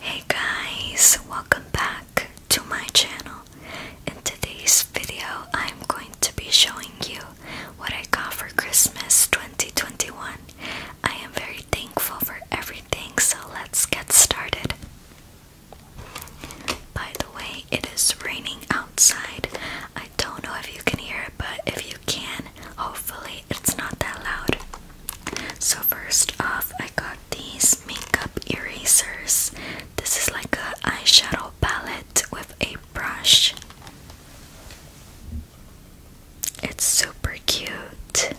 Hey guys, welcome back to my channel. In today's video, I'm going to be showing you what I got for Christmas 2021. I am very thankful for everything, so let's get started. By the way, it is raining outside. I don't know if you can hear it, but if you can, hopefully it's not that loud. So first off, I got these makeup erasers. This is like an eyeshadow palette with a brush. It's super cute.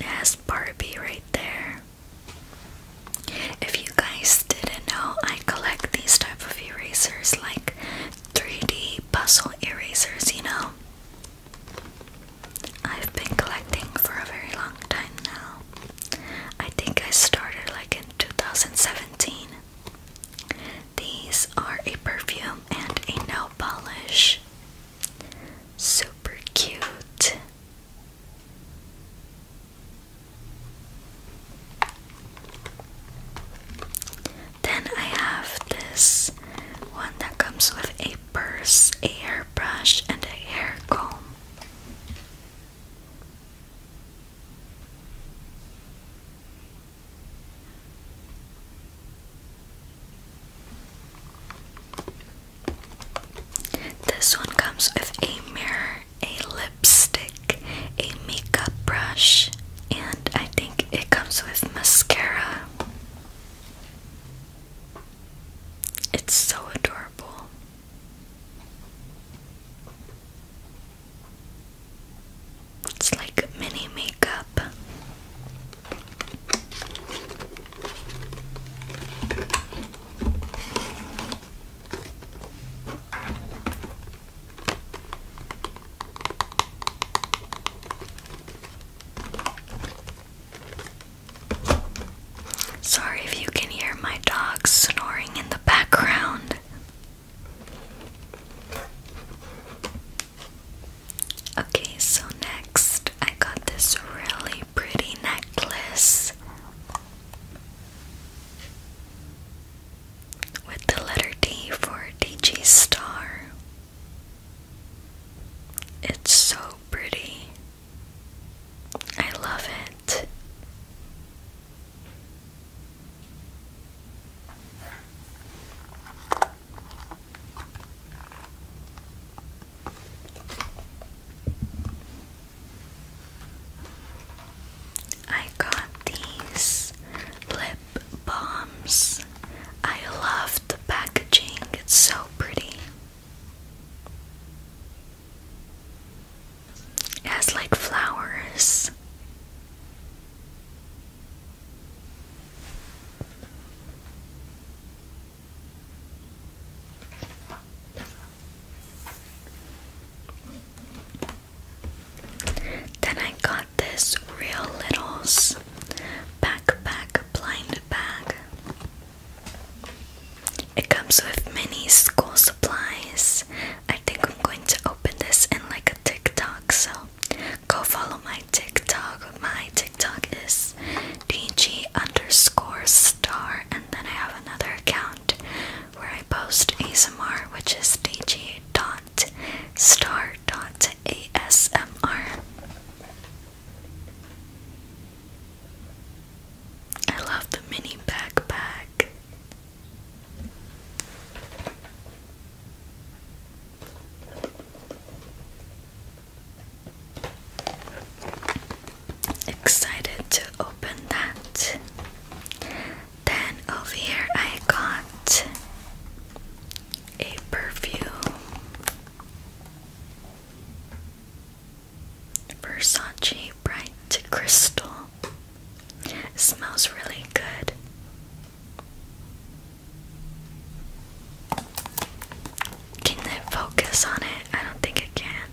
It has Barbie right there. If you guys didn't know, I collect these type of erasers like 3D puzzle erasers, you know. I've been collecting for a very long time now. I think I started like in 2017. These are a perfume and a nail polish. Super cute. Then I have this one that comes with a purse, a hairbrush, and a hair comb. This one comes with a mirror, a lipstick, a makeup brush, and I think it comes with mascara. It's so adorable. It's like mini makeup. Sorry if you can hear my dog snoring in the background. Okay, so next I got this really pretty necklace with the letter D for DG Star. It's so pretty. I love it. I got these lip balms. I love the packaging, it's so pretty. As like flowers. Then I got this Real Littles backpack blind bag. It comes with many school supplies. I think I'm going to open this in like a TikTok, so go follow my TikTok. My TikTok is DG underscore star, and then I have another account where I post ASMR, which is DG dot star dot ASMR. I love the mini backpack. Excited to open that. Then over here I got a perfume. Versace Bright Crystal. smells really good. Can it focus on it? I don't think it can.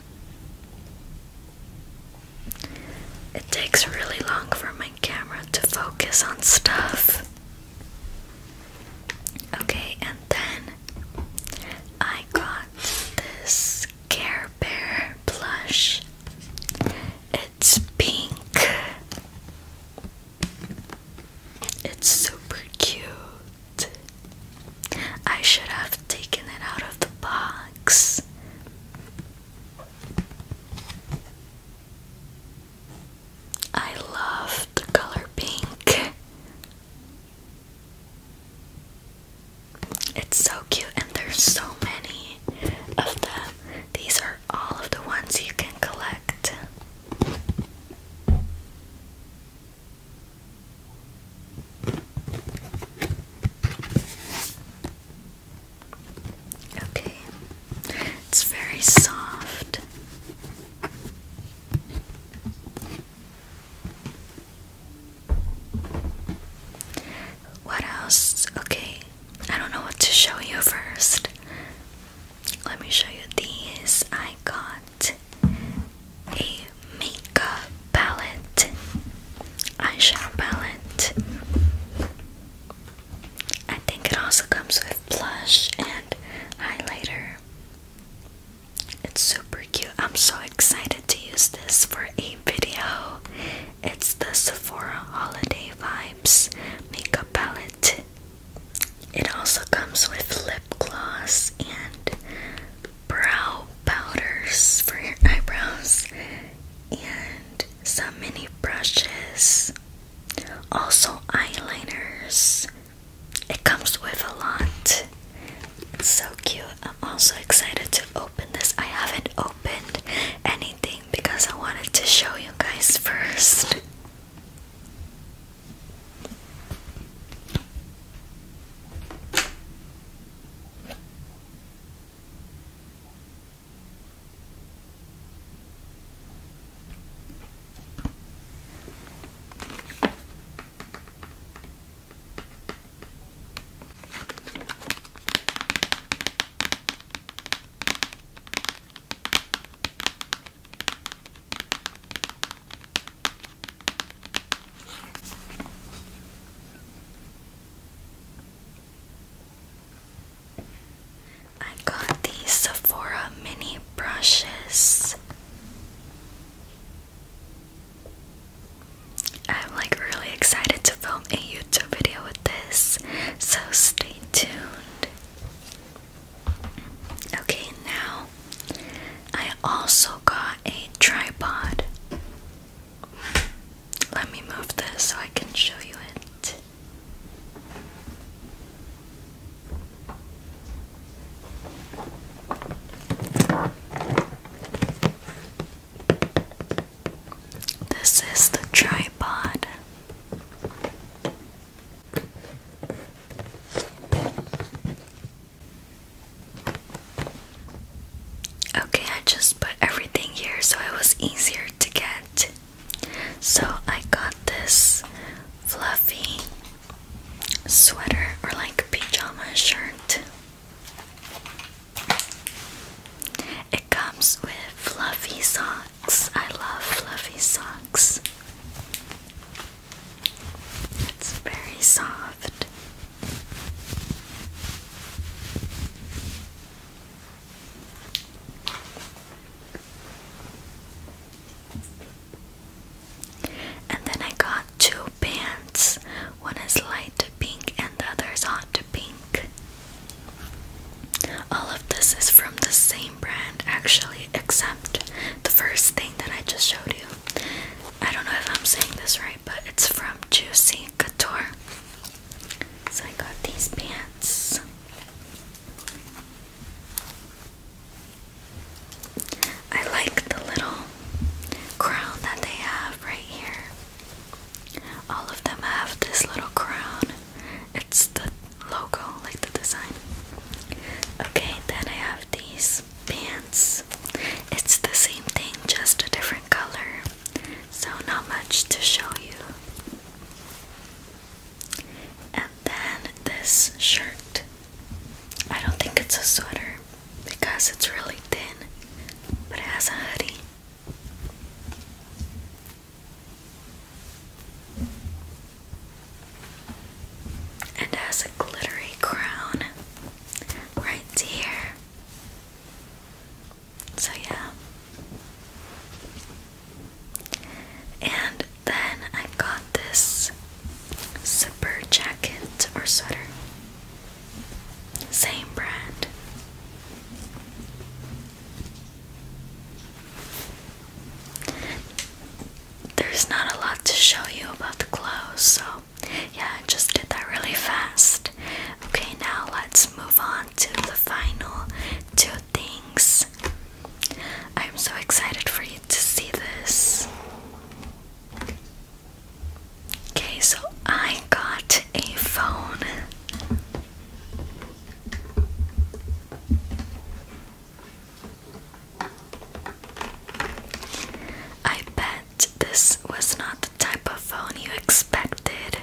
It takes really long for my camera to focus on stuff. Okay, and then I got this Care Bear blush. It's pink. It's super cute. I should have taken it out of the box. I love the color pink. It's so cute, and there's so many of them. These are all of the ones you can collect. Okay, it's very soft. What else? Okay, I don't know what to show you first. Let me show you these. I got a makeup palette, eyeshadow palette. I think it also comes with blush and highlighter. It's super cute. I'm so excited to use this for a video. It's the Sephora Holiday Vibes makeup palette. It also comes with lip gloss and brow powders for your eyebrows and some mini brushes. Also eyeliners it comes with a lot. It's so cute. I'm also excited to open this. I haven't opened anything because I wanted to show you guys first. I got these Sephora mini brushes. I'm like really excited to film a YouTube video with this, so stay tuned. Okay, now I also got a tripod. Let me move this so I can show you it. This is the tripod. Okay, I just put everything here so it was easier to get. So I got this fluffy sweater or like pajama shirt. It comes with fluffy socks. I love fluffy socks. It's very soft. And then I got two pants. One is light pink and the other is hot pink. All of this is from the same brand actually, except the first thing that I just showed you. I don't know if I'm saying this right, but it's from Juicy Couture. So I got these pants. I like the little crown that they have right here. All of them have this little crown. It's the logo, like the design. Okay, then I have these pants. It's the same thing, just a different color. So, not much to show you. And then this shirt. I don't think it's a sweater because it's really thin, but it has a hoodie. And has a glittery crown right here. So, yeah. And then I got this zipper jacket or sweater. Same brand. There's not a lot to show you about the clothes, so yeah, I just did that really fast. Okay, now let's move on to the final two things. I'm so excited for you to see this. Okay, so I got a phone. I bet this was not the type of phone you expected.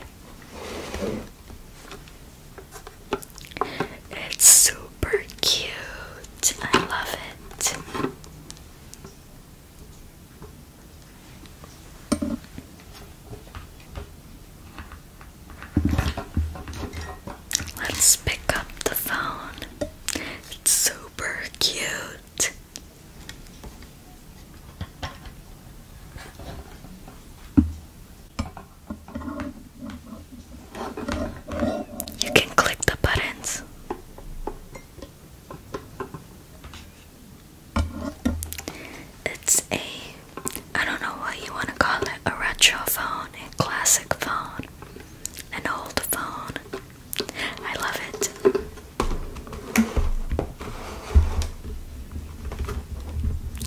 It's super cute. I love it. Let's pick up the phone. It's super cute. You can click the buttons. It's a I don't know what you want to call it, a retro phone, a classic phone, an old phone. I love it.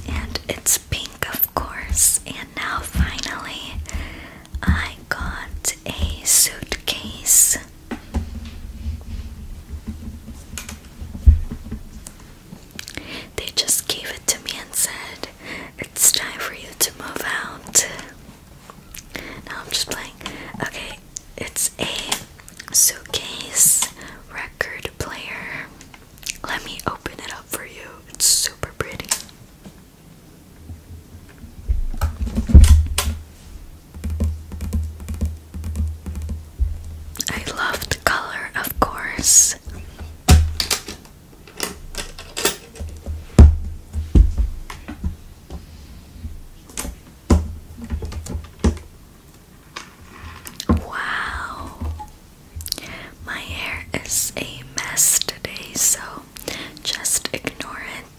And it's pink, of course. And now finally, I got a suitcase. They just gave it to me and said, It's time for you to move out. Now I'm just playing. Okay, it's a suitcase record player. Let me open it up for you. It's super pretty. I love the color, of course. Wow, my hair is a mess today, so just ignore it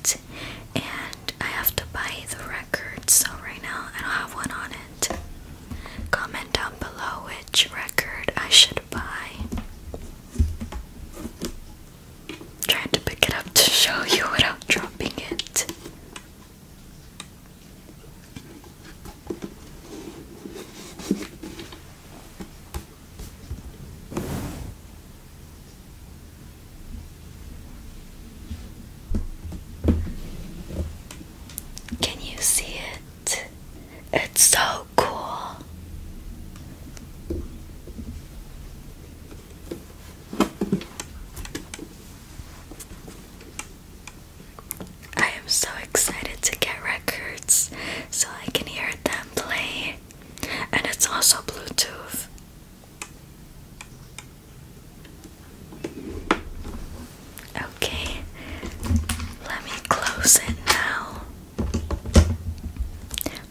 and I have to buy the record, so right now I don't have one on it. Comment down below which record I should buy. trying to pick it up to show you without dropping it. Can you see it? It's so cool. I am so excited to get records so I can hear them play. And it's also Bluetooth. Okay, let me close it now.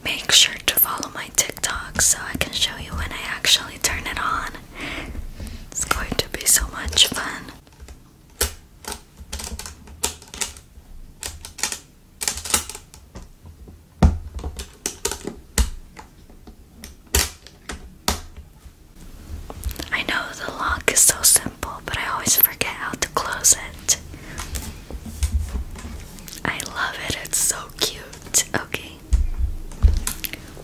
Make sure to follow my TikTok so I can show you when I actually turn it on. It's going to be so much fun. I know the lock is so simple, but I always forget how to close it. I love it, it's so cute. Okay.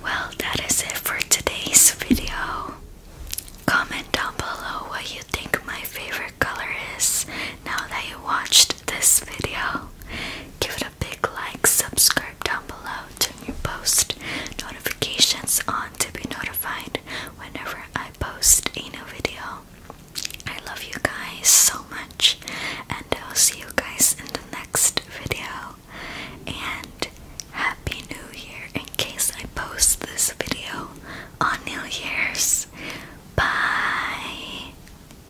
Well, that is it for today's video. Comment down below what you think my favorite color is now that you watched this video. Give it a big like, subscribe down below, turn your post notifications on to be notified whenever I post a new video. I love you guys so much, and I'll see you guys in the next video. And Happy New Year in case I post this video on New Year's. Bye!